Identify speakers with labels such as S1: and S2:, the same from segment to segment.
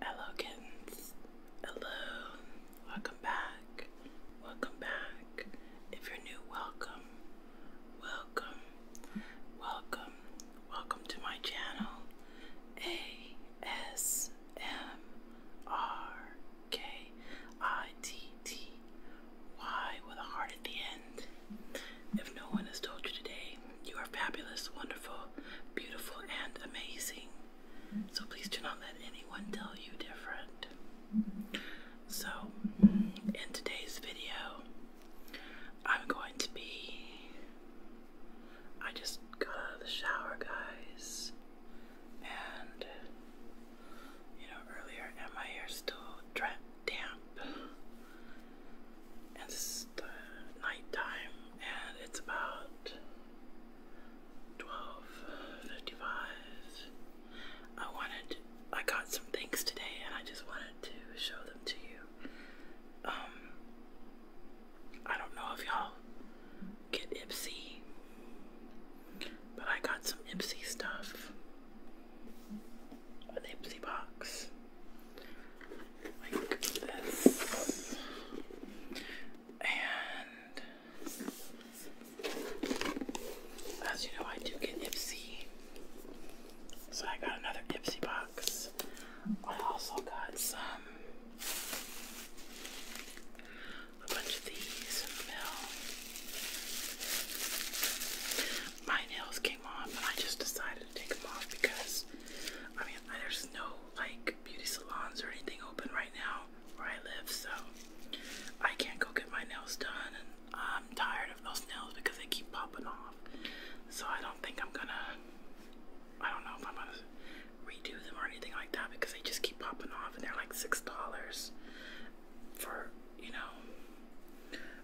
S1: Hello kittens. Hello. Welcome back. Welcome back. If you're new, welcome. Welcome. Welcome. Welcome to my channel. A S M R K I T T Y with a heart at the end. If no one has told you today, you are fabulous, wonderful, beautiful, and amazing. So please do not let anyone tell you different. So, in today's video, I'm going to be. I just got out of the shower, guys. And, you know, earlier, my hair's still damp and this the night time and it's about 12.55 I wanted, I got some things today and I just wanted to show them to you um I don't know if y'all get Ipsy but I got some Ipsy stuff an Ipsy box like this. And as you know, I do get Ipsy. So I got another Ipsy box. I also got some a bunch of these My nails came off, and I just decided to take them off because I mean, there's no like beauty salons or anything open right now where I live, so I can't go get my nails done. And I'm tired of those nails because they keep popping off. So I don't think I'm gonna. I don't know if I'm gonna redo them or anything like that because they just keep popping off and they're like six dollars for you know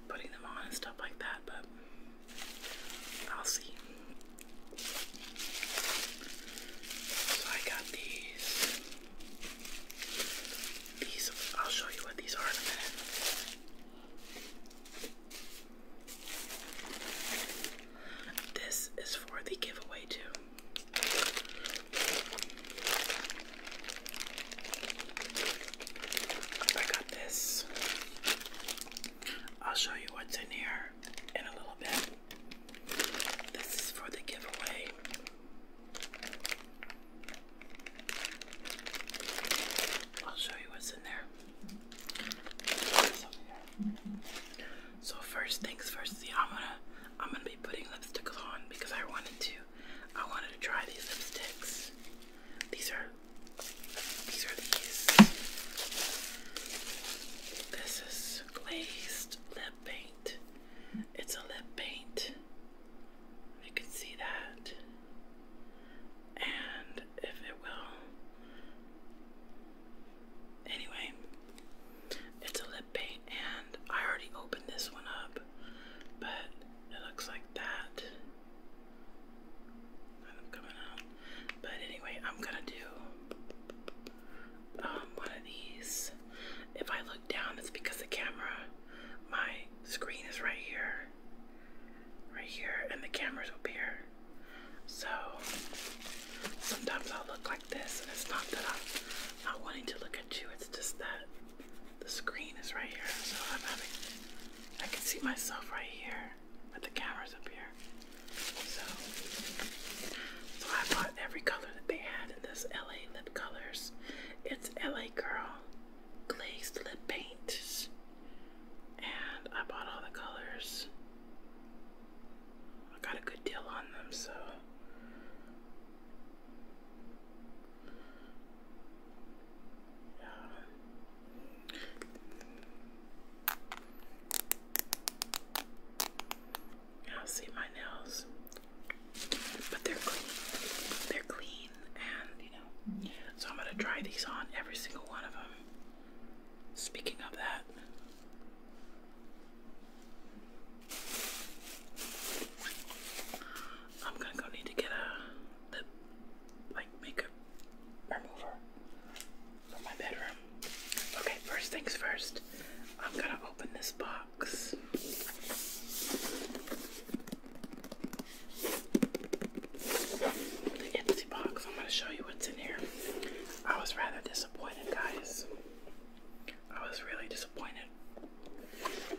S1: putting them on and stuff like that. But I'll see. So I got these. These, I'll show you what these are in a minute. This is for the giveaway, too. I got this. I'll show you what's in here in a little bit. This is for the giveaway. I'll show you what's in there. So first things first, see, I'm gonna I'm gonna be putting lipsticks on because I wanted to I wanted to try these lipsticks. These are these are these. This is glazed lip paint. It's a lip paint. You can see that. And if it will. Anyway, it's a lip paint, and I already opened this one up, but it looks like that. I'm coming out. But anyway, I'm gonna do um, one of these. If I look down, it's because the camera, my screen is right here. Right here, and the camera's up here. So sometimes I'll look like this, and it's not that I'm not wanting to look at you, it's just that the screen is right here. So I'm having, I can see myself right here but the camera's up here. So, so I bought every color that they had in this LA lip colors. It's LA Girl glazed lip paint, and I bought all the colors. I got a good deal on them, so. Yeah. I'll see my nails, but they're clean. They're clean, and you know. So I'm gonna try these on every single one of them. Speaking of that. I'm gonna go need to get a like makeup remover from my bedroom. Okay, first things first, I'm gonna open this box. The empty box. I'm gonna show you what's in here. I was rather disappointed, guys. I was really disappointed.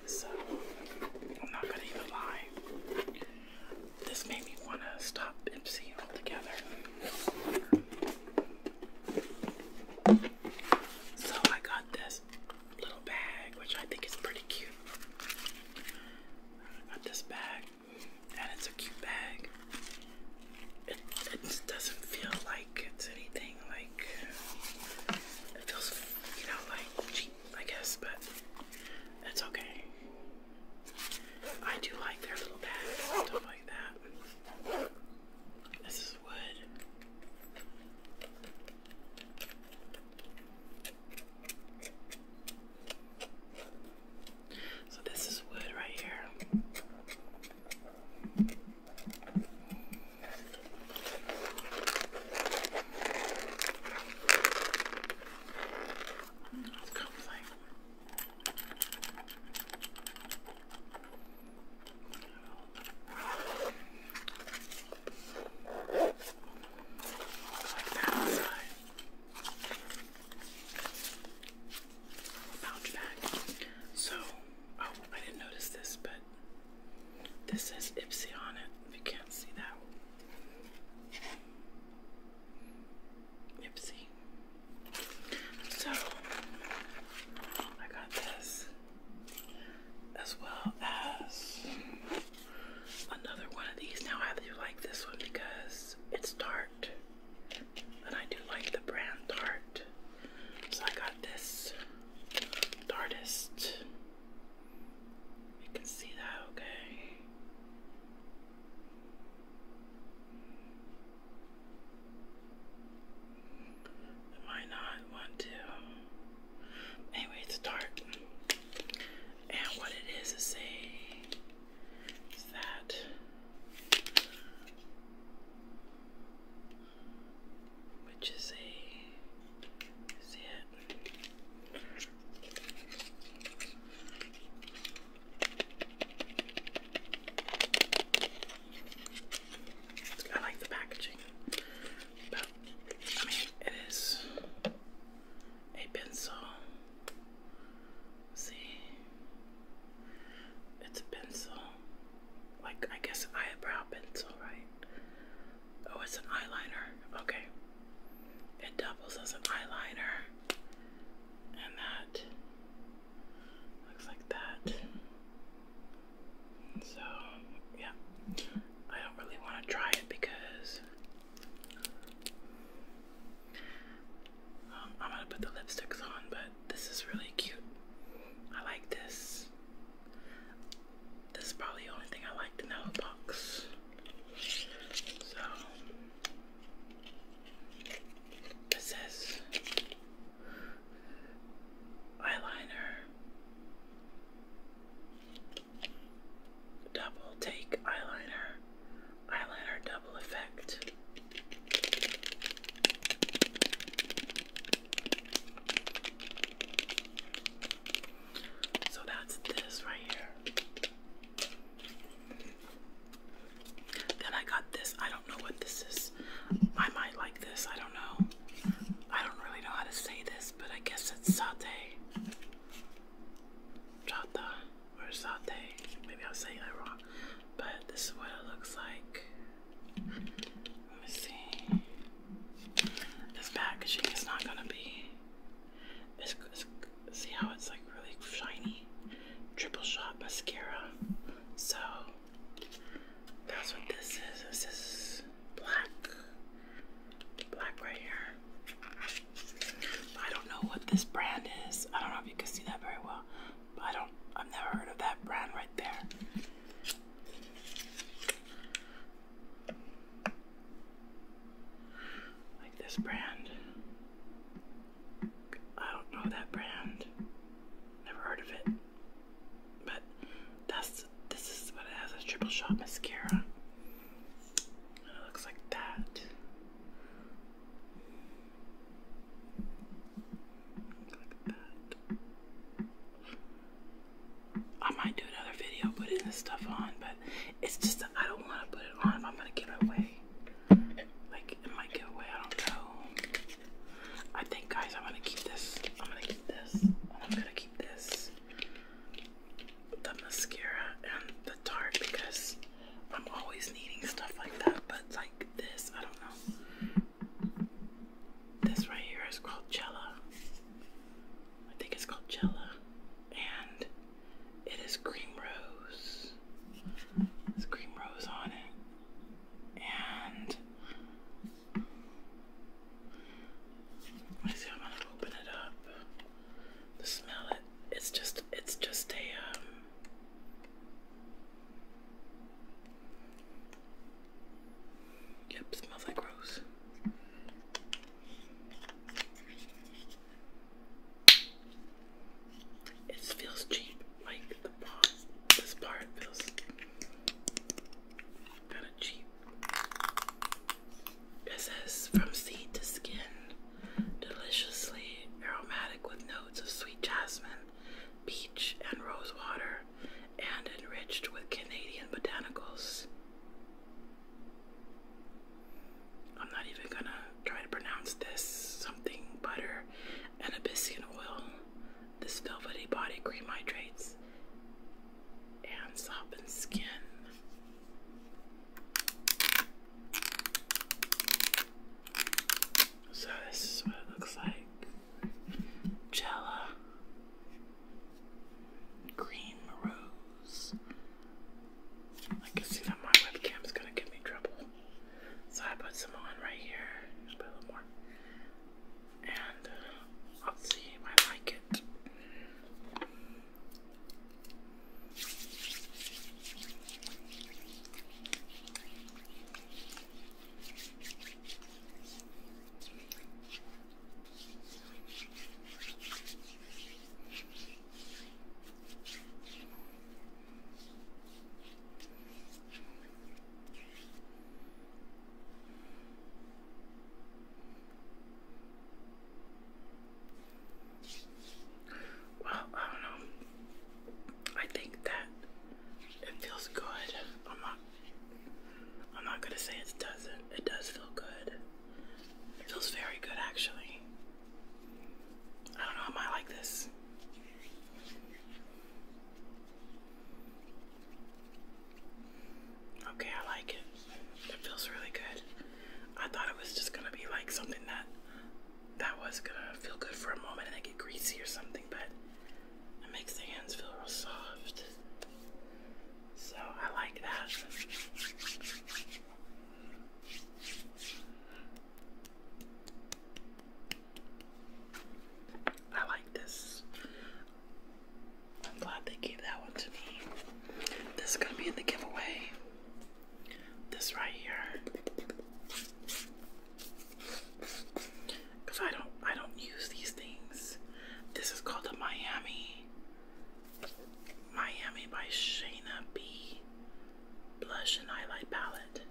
S1: So, I'm not gonna even lie. This made me want to stop emceeing altogether. So I got this little bag, which I think is pretty cute. I got this bag, and it's a cute bag. It, it doesn't feel like it's anything like it feels, you know, like cheap, I guess, but it's okay. I do like their little bags stuff like that. This is wood. So this is wood right here. It comes like so, oh, I didn't notice this, but this says Ipsy on it. You can't see that. Nipsey. So I got this as well as another one of these. Now I do like this one because it's Tarte. And I do like the brand Tarte. So I got this Tartist. You can see that, okay? I not want to. Anyway, it's dark. And what it is is a that which is a is it I like the packaging, but I mean, it is a pencil. See, it's a pencil, like I guess eyebrow pencil, right? Oh, it's an eyeliner. Okay. It doubles as an eyeliner, and that looks like that. So, yeah, I don't really want to try it because um, I'm gonna put the lipsticks on, but this is really cute. I like this. This is probably the only thing I liked in the box. So, this is eyeliner double take eyeliner eyeliner double effect. So that's this right here. Then I got this. I don't know what this is. I might like this. I don't know. I don't really know how to say this, but I guess it's satay. Chata or satay. Maybe I'm saying it wrong. But this is what it looks like. Let me see. This packaging is not going to be it's, it's, see how it's like really shiny? Triple shot mascara. So that's what this is. This is black. Black right here. I don't know what this brand is. I don't know if you can see that very well. But I don't I've never heard of that brand right there. Like this brand. I don't know that brand. Never heard of it. But that's this is what it has a triple shot mascara. it looks like that. Like that. I might do another video putting this stuff on, but it's just I don't want to put it on. I'm gonna give it away. Like it might get away, I don't know. I think guys I'm gonna keep this. I'm gonna keep this. I'm gonna keep this. The mascara and the tart because I'm always needing stuff like that, but like this, I don't know. This right here is called Jella. I think it's called Jella. And it is cream rose. It's cream rose on it. And let see, I'm gonna open it up. smell it it's just it's just a um Yep, smells like rose. It feels cheap, like the part, this part feels kind of cheap. It says from seed to skin, deliciously aromatic with notes of sweet jasmine, peach, and rosewater, and enriched with Canadian botanicals. I'm not even gonna try to pronounce this something butter and Abyssinian oil. This velvety body cream hydrates and softens skin. So this is what it looks like. Jella Cream Rose I can see that my webcam is gonna give me trouble. So I put some on right here. Just a little more. And uh, I'll see if I like it. Well, I don't know. I think that it feels good. I'm not I'm not gonna say it doesn't. It does feel good. It feels very good actually. I don't know, am I like this? Okay, I like it. It feels really good. I thought it was just gonna be like something that that was gonna feel good for a moment and then get greasy or something, but it makes the hands feel real soft. So I like that. I like this. I'm glad they gave that one to me. This is going to be in the giveaway. This right here. Cuz I don't I don't use these things. This is called a Miami Miami by Shayna B. Blush and Highlight Palette.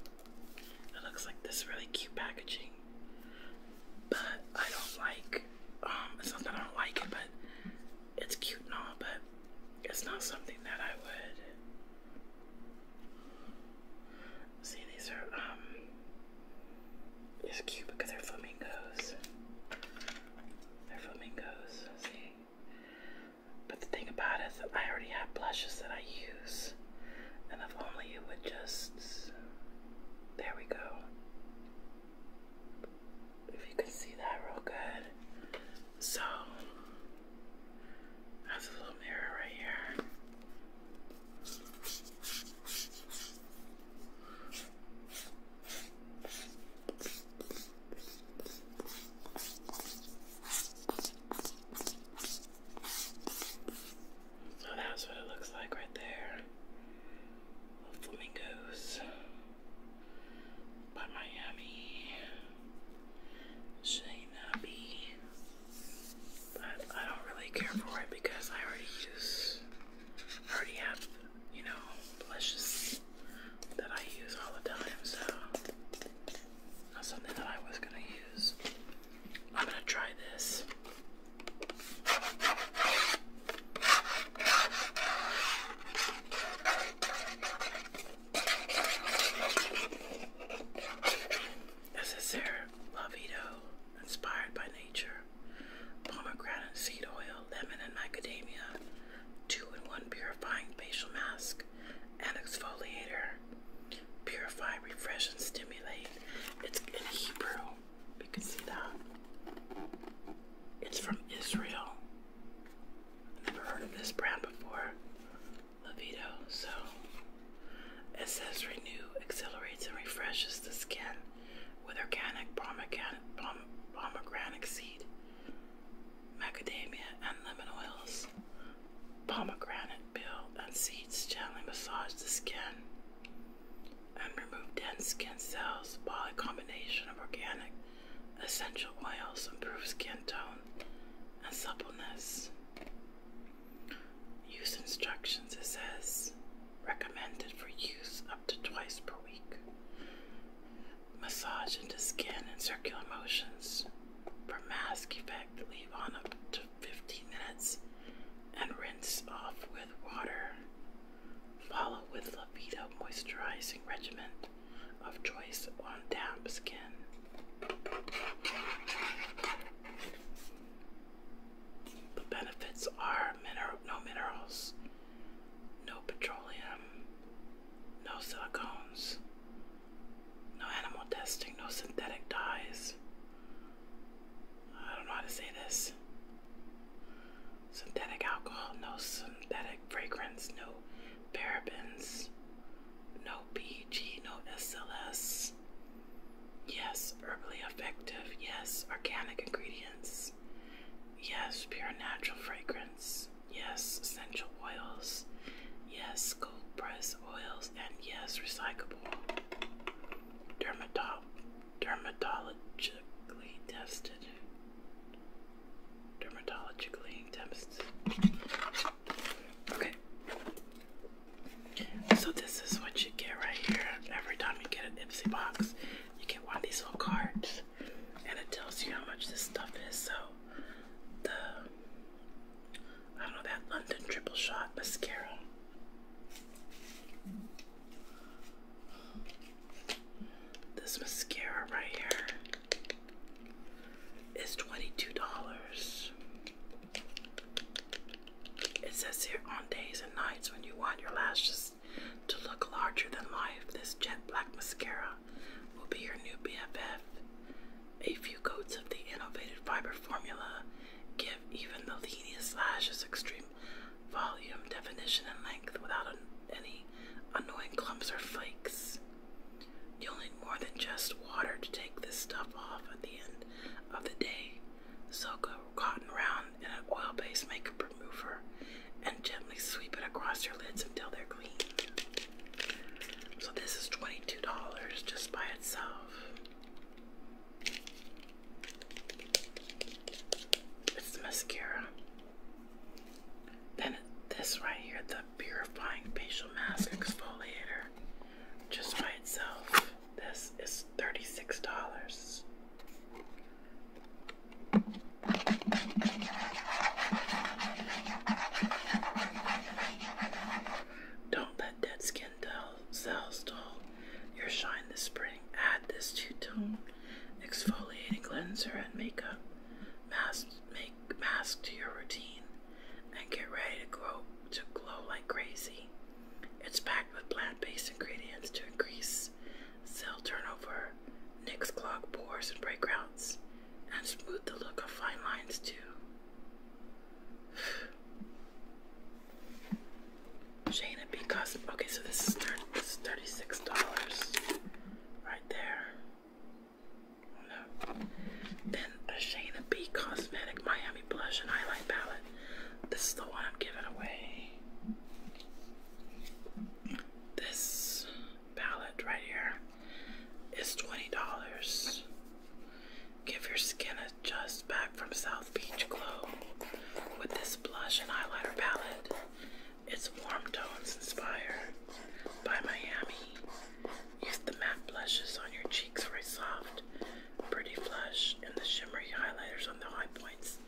S1: It looks like this really cute packaging. But I don't like, um, it's not that I don't like it, but it's cute and all, but it's not something that I would. See, these are, um, it's cute because they're flamingos. They're flamingos, see? But the thing about it is that I already have blushes that I use. And if only it would just. There we go. If you can see that real good. So, that's a little mirror right here. So that's what it looks like right there. flamingos by Miami. Shayna B. But I don't really care for it because I already use, already have, you know, delicious that I use all the time, so not something that I was gonna use. I'm gonna try this. This is their Lovito, inspired by nature, pomegranate seed oil, lemon, and macadamia. 2-in-1 Purifying Facial Mask and Exfoliator. Purify, refresh, and stimulate. It's in Hebrew. You can see that. It's from Israel. Never heard of this brand before. Levito. So it says renew, accelerates, and refreshes the skin with organic pomegranate, pomegranate seed macadamia and lemon oils. Pomegranate peel and seeds gently massage the skin and remove dense skin cells while a combination of organic essential oils improves skin tone and suppleness. Use instructions it says recommended for use up to twice per week massage into skin in circular motions for mask effect. Leave on up to 15 minutes and rinse off with water. Follow with Libido moisturizing regimen of choice on damp skin. The benefits are mineral, no minerals, no petroleum, no silicones, no animal testing, no synthetic dyes. I don't know how to say this. Synthetic alcohol, no synthetic fragrance, no parabens, no PG, no SLS. Yes, herbally effective. Yes, organic ingredients. Yes, pure natural fragrance yes, essential oils, yes, gold press oils, and yes, recyclable. Dermatol dermatologically tested. Dermatologically tested. Okay. So this is what you get right here. Every time you get an Ipsy box, you get one of these little cards and it tells you how much this stuff is. So the I don't know that London triple shot mascara. This mascara right here is $22. It says here on days and nights when you want your lashes to look larger than life, this jet black mascara will be your new BFF. A few coats of the innovated fiber formula give even the leanest lashes extreme volume, definition, and length without any annoying clumps or flakes. You'll need more than just water to take this stuff off at the end of the day. so go cotton round in an oil based makeup remover and gently sweep it across your lids until they're clean. So, this is $22 just by itself. It's mascara. Then, this right here, the Purifying Facial Mask Exfoliator, just by itself. This is $36. Don't let dead skin cells dull your shine this spring. Add this two-tone exfoliating cleanser and makeup mask, make mask to your routine, and get ready to grow to glow like crazy. It's packed with plant-based ingredients to increase Cell turnover, nicks clog pores and breakouts, and smooth the look of fine lines too. Shayna B. Cosm. Okay, so this is, thirty-six dollars, right there. no. Then a Shayna B. Cosmetic Miami Blush and Highlight Palette. This is the one I'm giving away. This palette right here is $20. Give your skin a just back from South Beach Glow with this blush and highlighter palette. It's Warm Tones Inspired by Miami. Use the matte blushes on your cheeks for a soft, pretty flush and the shimmery highlighters on the high points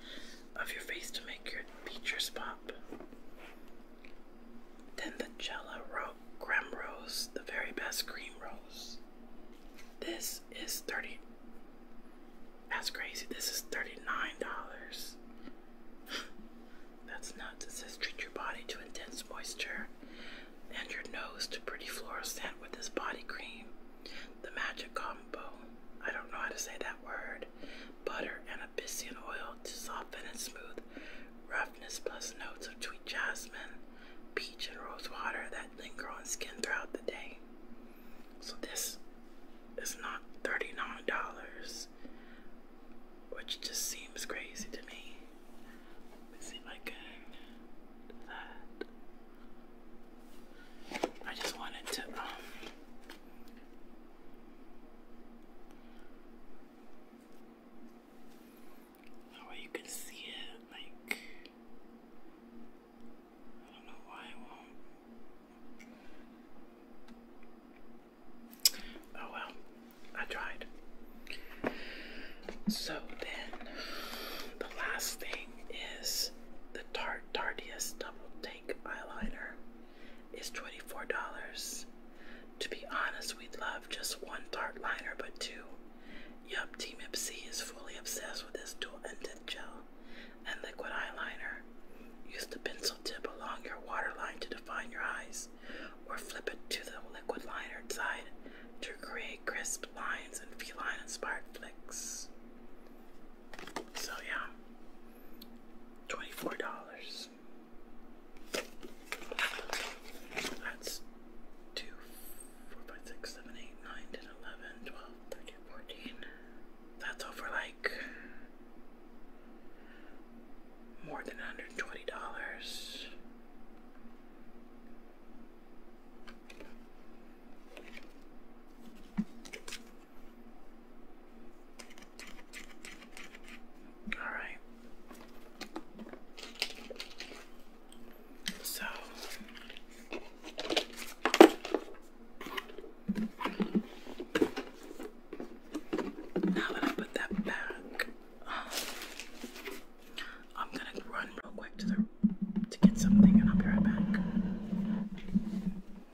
S1: of your face to make your features pop. Then the Jella ro rose, the very best cream rose. This is 30 That's crazy. This is $39. That's nuts. It says treat your body to intense moisture and your nose to pretty floral scent with this body cream. The magic combo. I don't know how to say that word. Butter and Abyssinian oil to soften and smooth roughness, plus notes of sweet jasmine, peach, and rosewater water that linger on skin throughout the day. So this is not $39, which just seems crazy to me. see if I can I just wanted to um, that way you can see it, like, I don't know why I won't. Oh well, I tried. So then, the last thing is the Tarte Tardius Double Tank Eyeliner is $24. To be honest, we'd love just one dark liner, but two. Yup, Team Ipsy is fully obsessed with this dual ended gel and liquid eyeliner. Use the pencil tip along your waterline to define your eyes, or flip it to the liquid liner side to create crisp lines and feline inspired flicks. So, yeah, $24. That's two, four, five, six, seven, eight, nine, ten, eleven, twelve, thirteen, fourteen. That's over like more than hundred and twenty dollars. All right. So now that I put that back, um, I'm gonna run real quick to the to get something, and I'll be right back.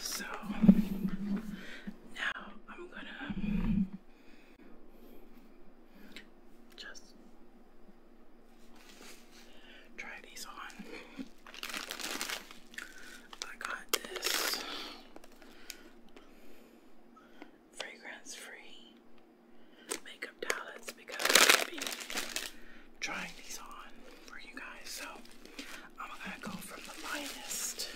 S1: So now I'm gonna just try these on. I got this fragrance free makeup palettes because I've been trying these on for you guys. So I'm gonna go from the lightest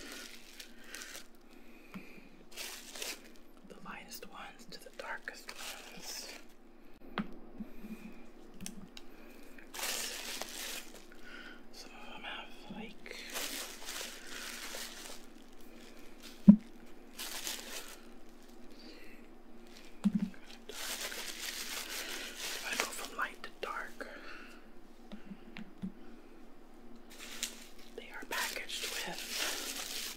S1: the lightest ones to the darkest ones. Some of them have like I go from light to dark. They are packaged with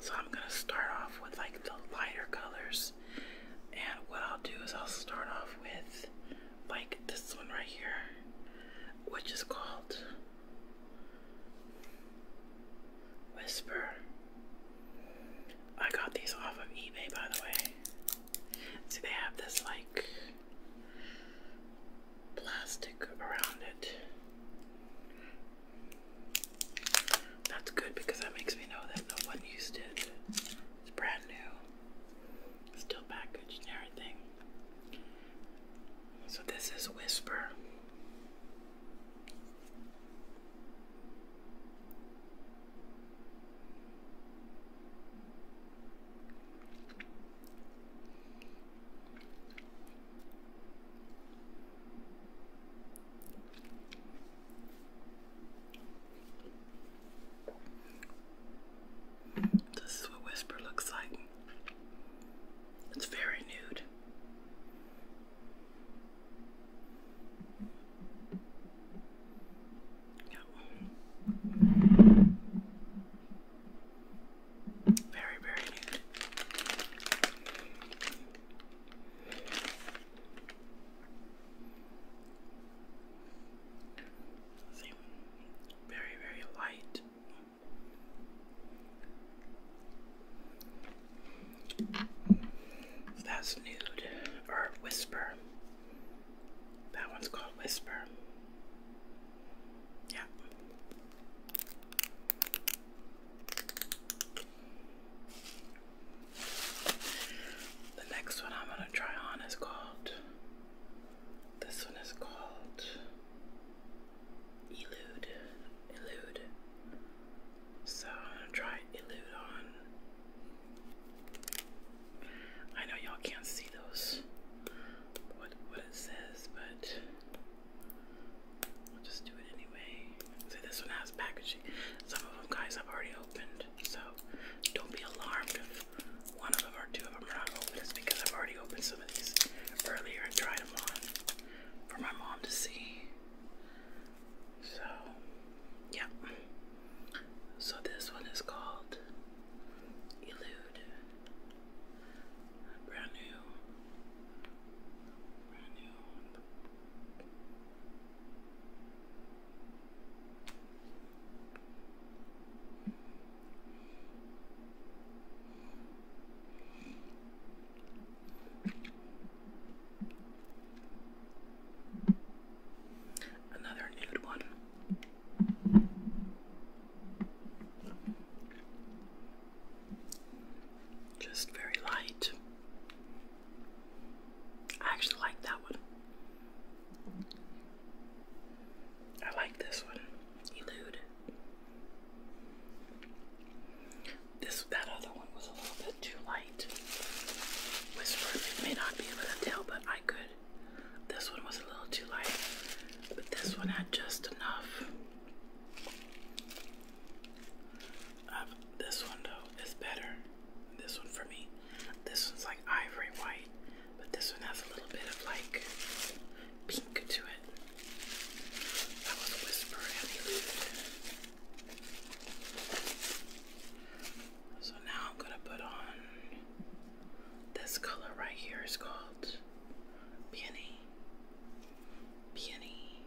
S1: So I'm gonna start off with like the lighter colors. And what I'll do is I'll start off with like this one right here, which is called Whisper. I got these off of eBay by the way. See, they have this like plastic around it. That's good because that makes me know that no one used it. It's brand new, still packaged and everything. So, this is Whisper. This is what Whisper looks like. It's very nude. Very, very very, very light. that's nude or whisper. That one's called whisper. Yeah. The next one I'm going to try on is called, this one is called Elude. Elude. So I'm going to try Elude on. I know y'all can't see those, what, what it says, but I'll just do it anyway. So this one has packaging. Some of them guys I've already opened, so don't be alarmed if one of them or two of them are not open. It's because I've already opened some of these earlier and tried them on for my mom to see. So, yeah. So this one is called Elude. Brand new. Brand new. Another nude one. Just very light. I actually like that one. I like this one. Elude. This that other one was a little bit too light. Whisper. may not be able to tell, but I could. This one was a little too light, but this one had just enough this one though is better. This one for me. This one's like ivory white, but this one has a little bit of like pink to it. That was Whisper Interlude. So now I'm gonna put on this color right here is called Peony. Peony.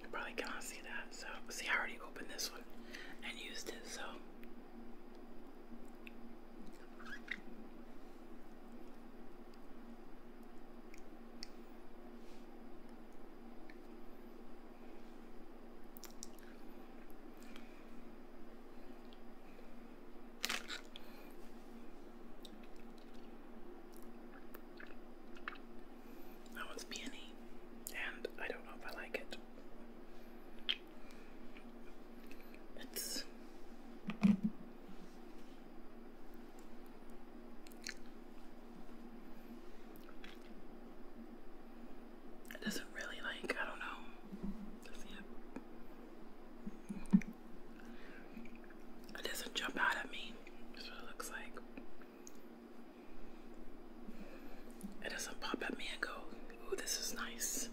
S1: You probably cannot see that. So, see, I already opened this one and used it. So, that was peony, and I don't know if I like it. It's it doesn't really like, I don't know. It doesn't jump out at me. That's what it looks like. It doesn't pop at me and go, ooh, this is nice.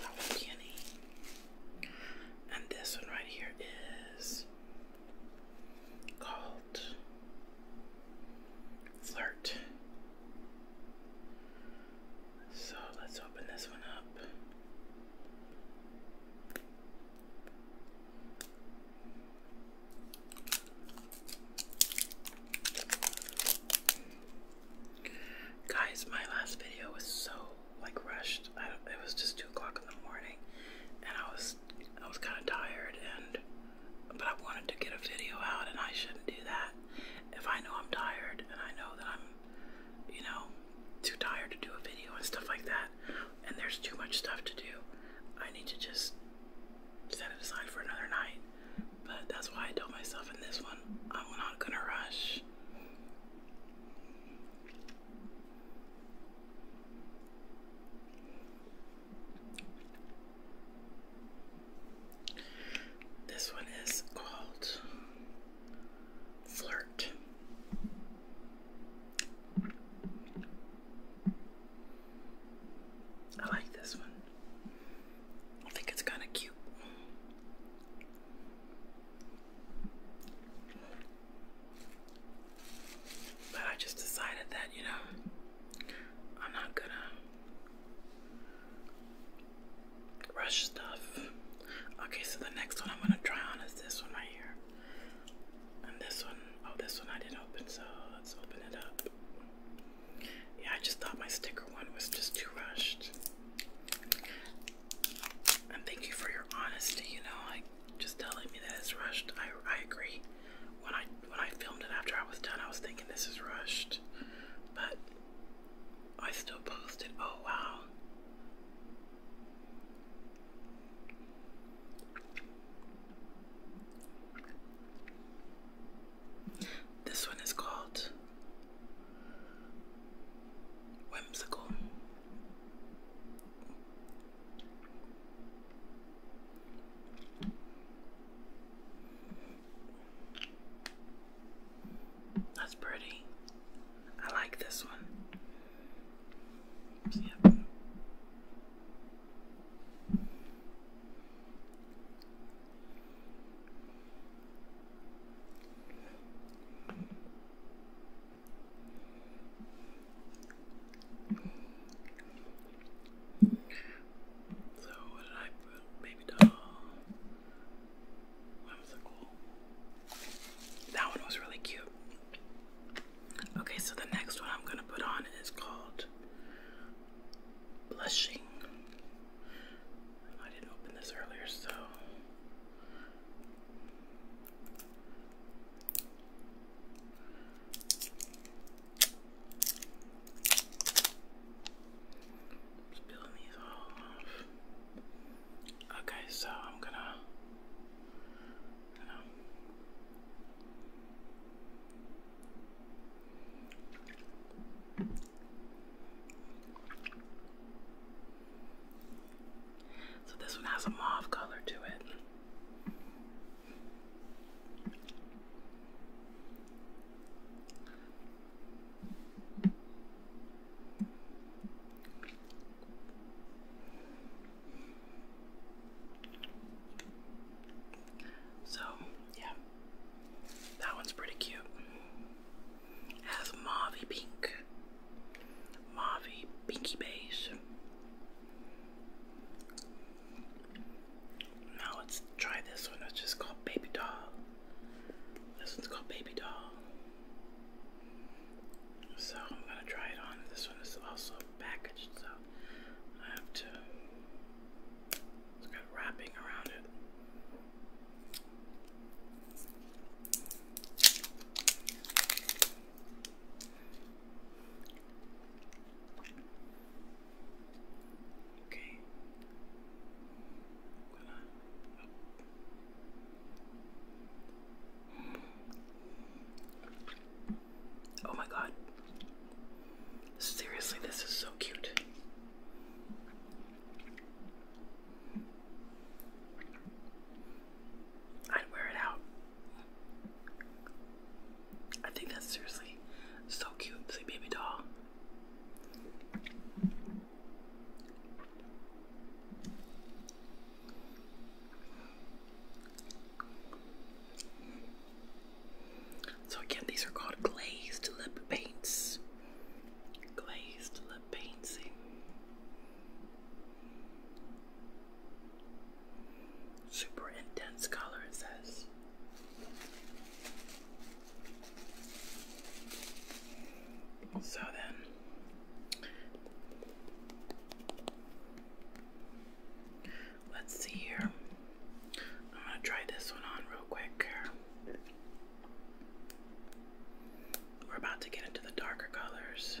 S1: That one's yummy. And this one right here is called Flirt. So let's open this one up. Guys, my last video was so like rushed. it was just two o'clock in the morning, and I was I was kind of tired, and but I wanted to get a video out, and I shouldn't do that if I know I'm tired and I know that I'm, you know, too tired to do a video and stuff like that, and there's too much stuff to do, I need to just set it aside for another night. But that's why I told myself in this one, I'm not gonna rush. This one is called Flirt. I like this one. I think it's kind of cute. But I just decided that, you know, I'm not gonna Rush stuff. Okay, so the next one I'm gonna try on is this one right here. And this one, oh, this one I didn't open, so let's open it up. Yeah, I just thought my sticker one was just too rushed. And thank you for your honesty, you know, like just telling me that it's rushed. I, I agree. When I when I filmed it after I was done, I was thinking this is rushed. But I still posted. Oh wow. This one is called Whimsical. That's pretty. I like this one. So what did Baby doll. That one was really cute. Okay, so the next one I'm gonna put on is called Blushing. I didn't open this earlier, so. Okay, so I'm gonna so this one has a mauve color to it. So, yeah, that one's pretty cute. has mauvey pink, mauvey pinky beige. Now let's try this one. It's just called Baby Doll. This one's called Baby Doll. So I'm gonna try it on. This one is also packaged, so I have to. It's got wrapping around it. Okay. Gonna Oh my god. Seriously, this is so cute. I'd wear it out. I think that's seriously so cute. It's baby doll. So again, these are called glazed lip paints. Glazed lip paints. Super intense color, it says. So then, let's see here. I'm going to try this one on real quick. We're about to get into the darker colors.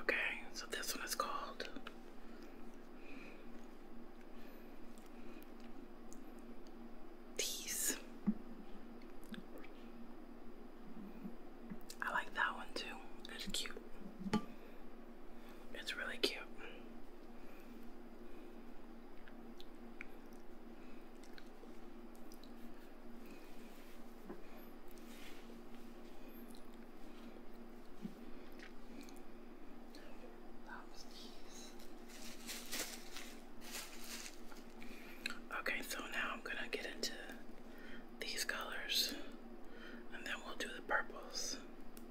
S1: Okay, so this one is called Tease. I like that one too. It's cute. It's really cute. Okay, so now I'm gonna get into these colors and then we'll do the purples.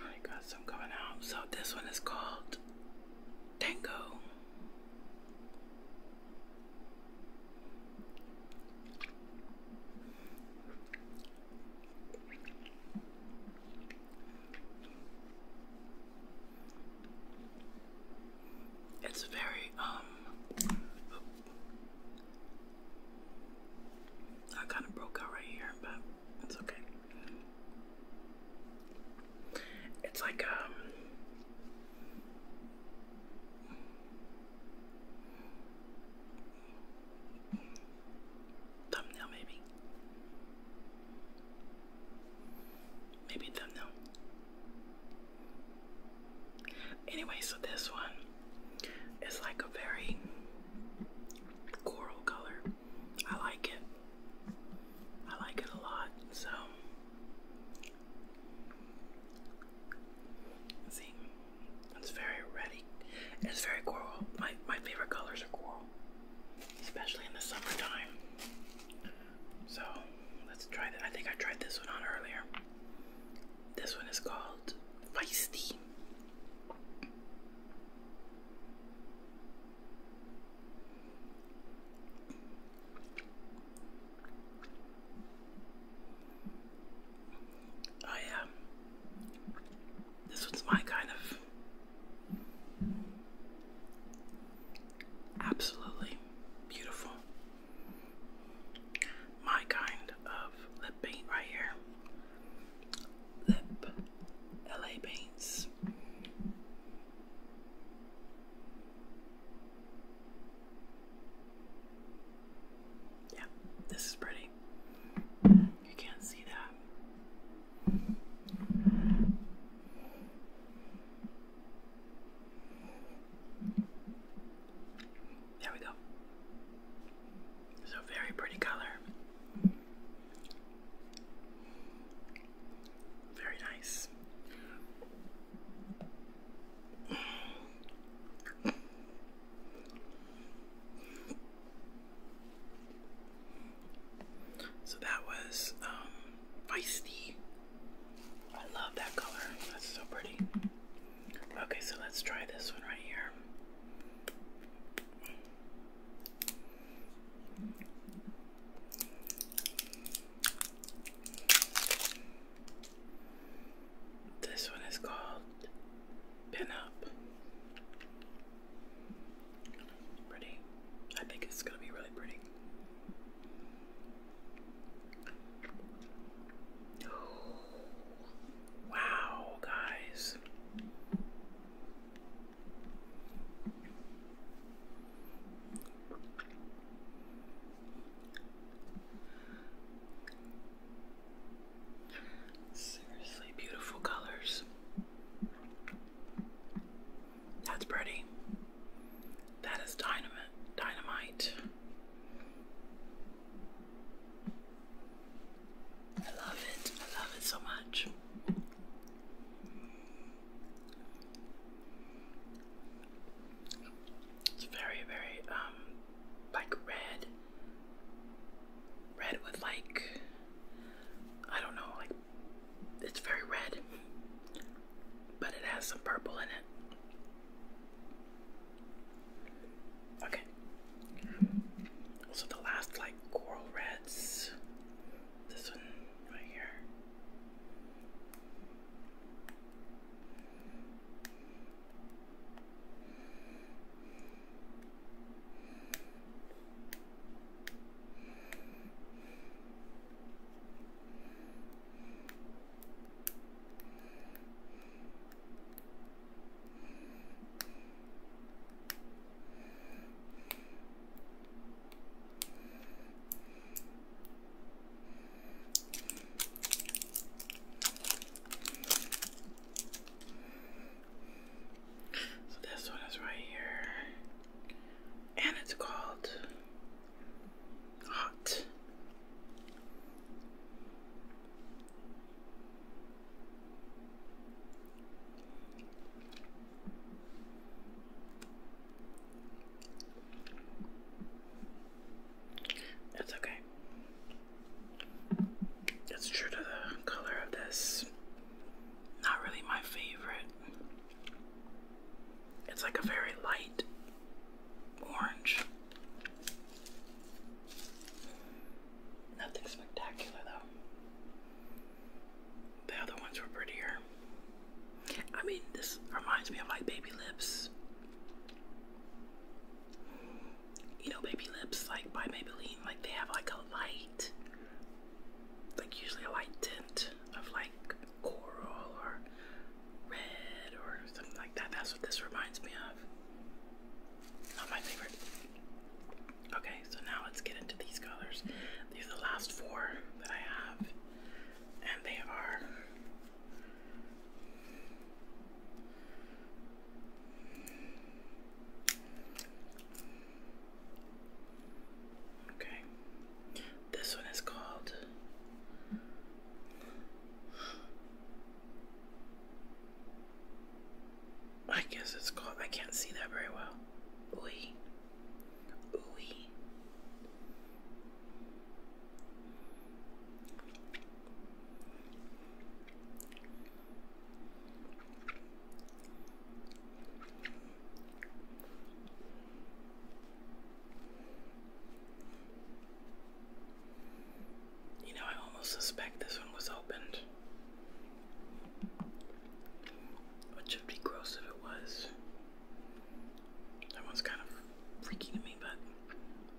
S1: I got some coming out. So this one is called Tango. It's very um I kind of broke out right here, but it's okay. It's like um thumbnail maybe. Maybe thumbnail. Anyway, so this one it's like a very coral color. I like it. I like it a lot. So, see, it's very ready. It's very coral. My my favorite colors are coral, especially in the summertime. So, let's try that. I think I tried this one on earlier. This one is called Feisty. Oh, yeah. This one's my kind of. Absolutely beautiful. My kind of lip paint right here. Lip LA Paints. Yeah, this is pretty. You can't see that. There we go. So very pretty color. Very nice. So that was um, feisty. I love that color. That's so pretty. Okay, so let's try this one right here. This one is called Pin Pretty. I think it's going to be really pretty. Wow, guys. Seriously beautiful colors. That's pretty. That is dynamite. Dynamite. I love it. I love it so much. It's very, very um like red. Red with like I don't know, like it's very red, but it has some purple in it. Okay. Also, the last like coral reds. This one right here. So this one is right here, and it's called Hot. That's okay. It's true to the color of this. Not really my favorite. It's like a very light orange. Nothing spectacular though. The other ones were prettier. I mean, this reminds me of like baby lips. You know, baby lips like by Maybelline, like they have like a light, like usually a light tint of like coral or red or something like that. That's what this reminds me of. Not my favorite. Okay, so now let's get into these colors. These are the last four that I have, and they are okay. This one is called I guess it's called. I can't see that very well. Ooey. Ooey. You know, I almost suspect this one was opened. would be gross if it was. That one's kind of freaky to me, but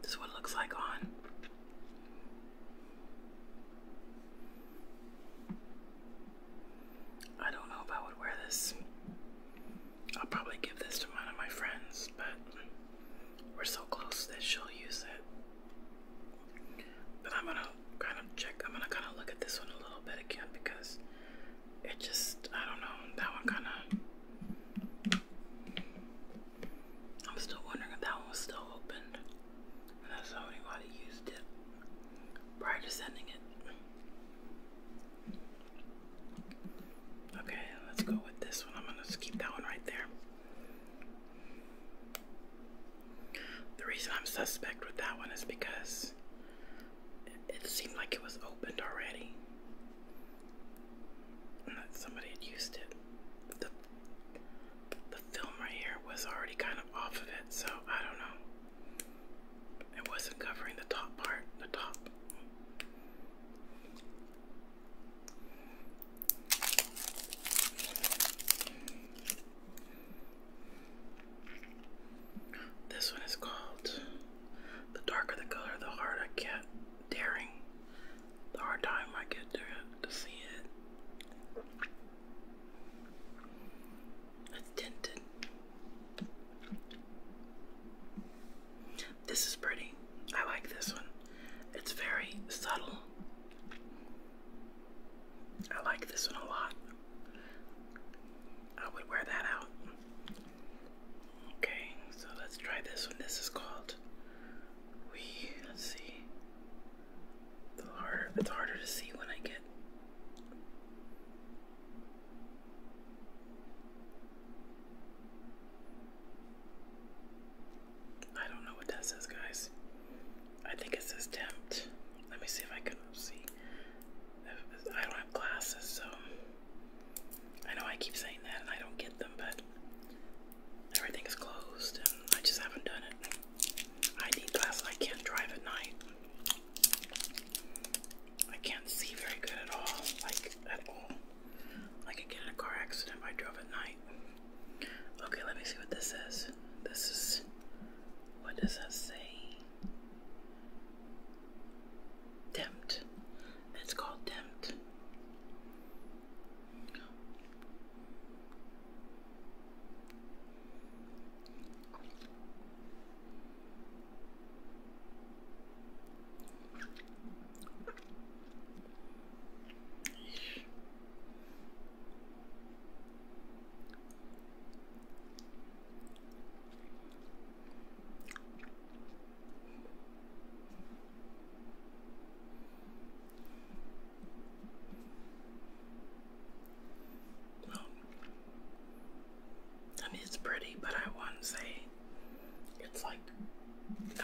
S1: this is looks like on. I don't know if I would wear this. I'll probably give this to one of my friends, but we're so close that she'll use it. But I'm gonna kind of check, I'm gonna kind of look at this one a little bit again because it just, I don't know, that one kind of. I'm still wondering if that one was still opened. And anybody used it prior to sending it. Okay, let's go with this one. I'm gonna keep that one right there. The reason I'm suspect with that one is because it seemed like it was opened already. And that somebody had used it. The, the film right here was already kind of off of it, so I don't know. It wasn't covering the top part, the top. This one is called The Darker the Color, the Harder I Get Daring. The hard time I get to, to see it. It's tinted. This is pretty. I like this one. It's very subtle. I like this one a lot. I would wear that out. Okay, so let's try this one. This is called we let's see. The harder it's harder to see when I get I don't know what that says, guys. I think it says tempt. Let me see if I can see. I don't have glasses, so I know I keep saying that and I don't get them, but everything is closed and I just haven't done it. I need glasses. I can't drive at night. I can't see very good at all, like at all. I could get in a car accident if I drove at night. Okay, let me see what this is. This is. What does that say? Tempt. It's called Tempt. Well, it's pretty, but I wouldn't say it's like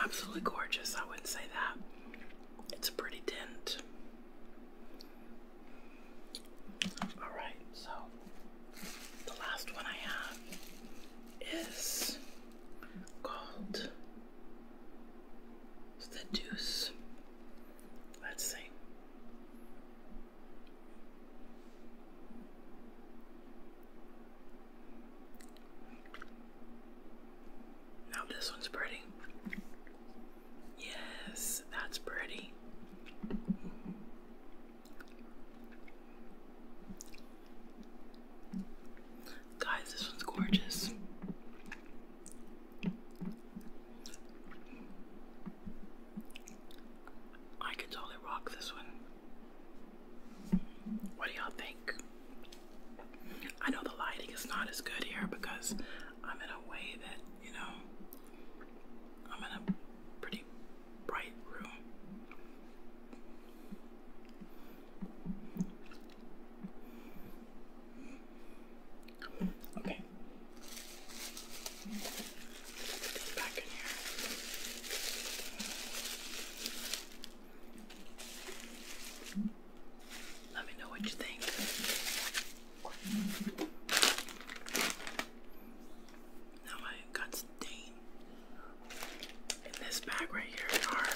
S1: absolutely gorgeous. I wouldn't say that. It's a pretty tint. Alright, so the last one I have is called Seduce. Let's see. Now this one's pretty. Yes, that's pretty. Guys, this one's gorgeous. I could totally rock this one. What do y'all think? I know the lighting is not as good here because I'm in a way that, you know, I'm in a pretty bright room. Okay. Back in here. Let me know what you think. Now I got stain in this bag right here are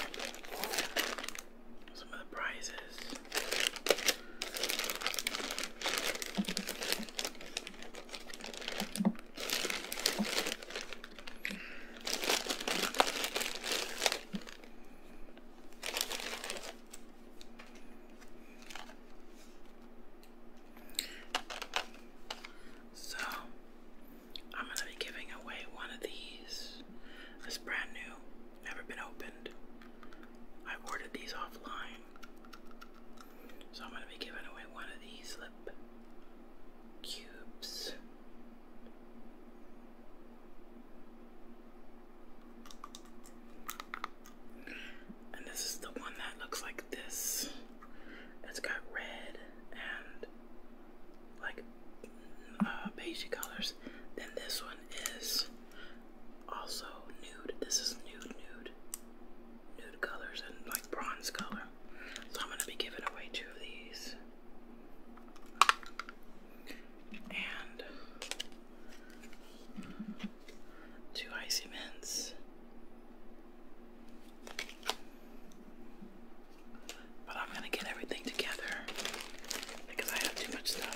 S1: some of so, I'm going to be giving away one of these. It's brand new, never been opened. I ordered these offline. So, I'm going to be giving away one of these lip cubes. And this is the one that looks like this. It's got red and like uh, colors. Then this one is also nude. This is nude, nude, nude colors and like bronze color. So I'm gonna be giving away two of these and two icy mints. But I'm gonna get everything together because I have too much stuff.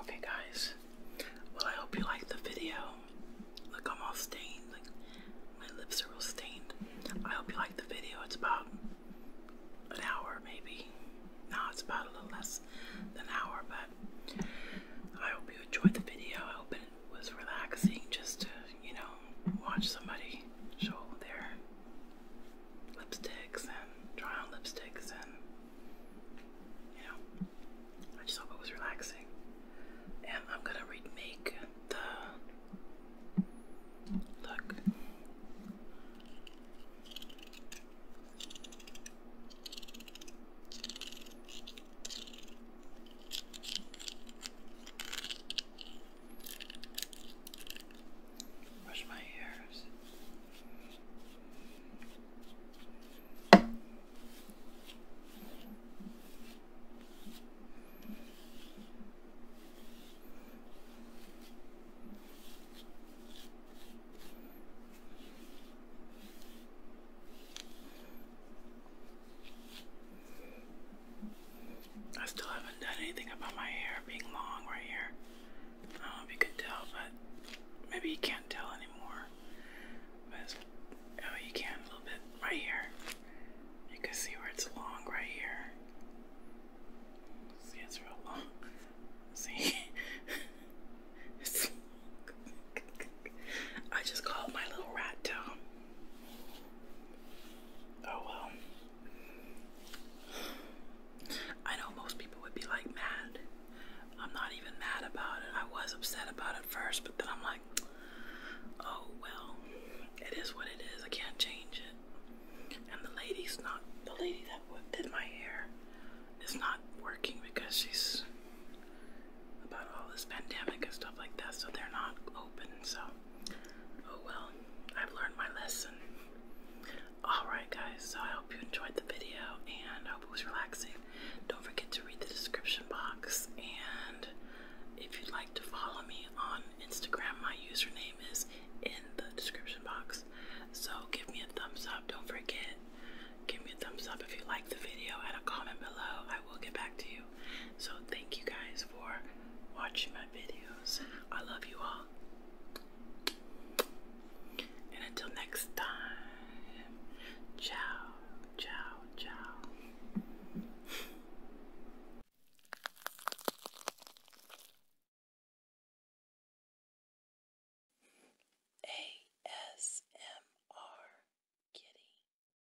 S1: Okay, guys. Well, I hope you liked the video. Look, I'm all stained. Like my lips are real stained. I hope you liked the video. It's about an hour, maybe. No, it's about a little less than an hour, but I hope you enjoyed the video. I hope it was relaxing just to, you know, watch somebody show their lipsticks and try on lipsticks and, you know, I just hope it was relaxing. And I'm gonna remake the look. Brush my hairs. I still haven't done anything about my hair being long right here. I don't know if you can tell, but maybe you can't tell anymore. But oh, you can a little bit right here. You can see where it's long right here. See, it's real long. See, I just call my little rat tail. Oh well. I know most people would be like mad. I'm not even mad about it. I was upset about it first, but then I'm like, oh well, it is what it is. I can't change it. And the lady's not, the lady that did my hair is not working because she's about all this pandemic and stuff like that, so they're not open. So, oh well, I've learned my lesson. Alright, guys, so I hope you enjoyed the video and hope it was relaxing. Don't forget to read the description box. And if you'd like to follow me on Instagram, my username is in the description box. So, give me a thumbs up. Don't forget, give me a thumbs up if you like the video and a comment below. I will get back to you. So thank you guys for watching my videos. I love you all. And until next time, ciao, ciao, ciao. ASMR Kitty.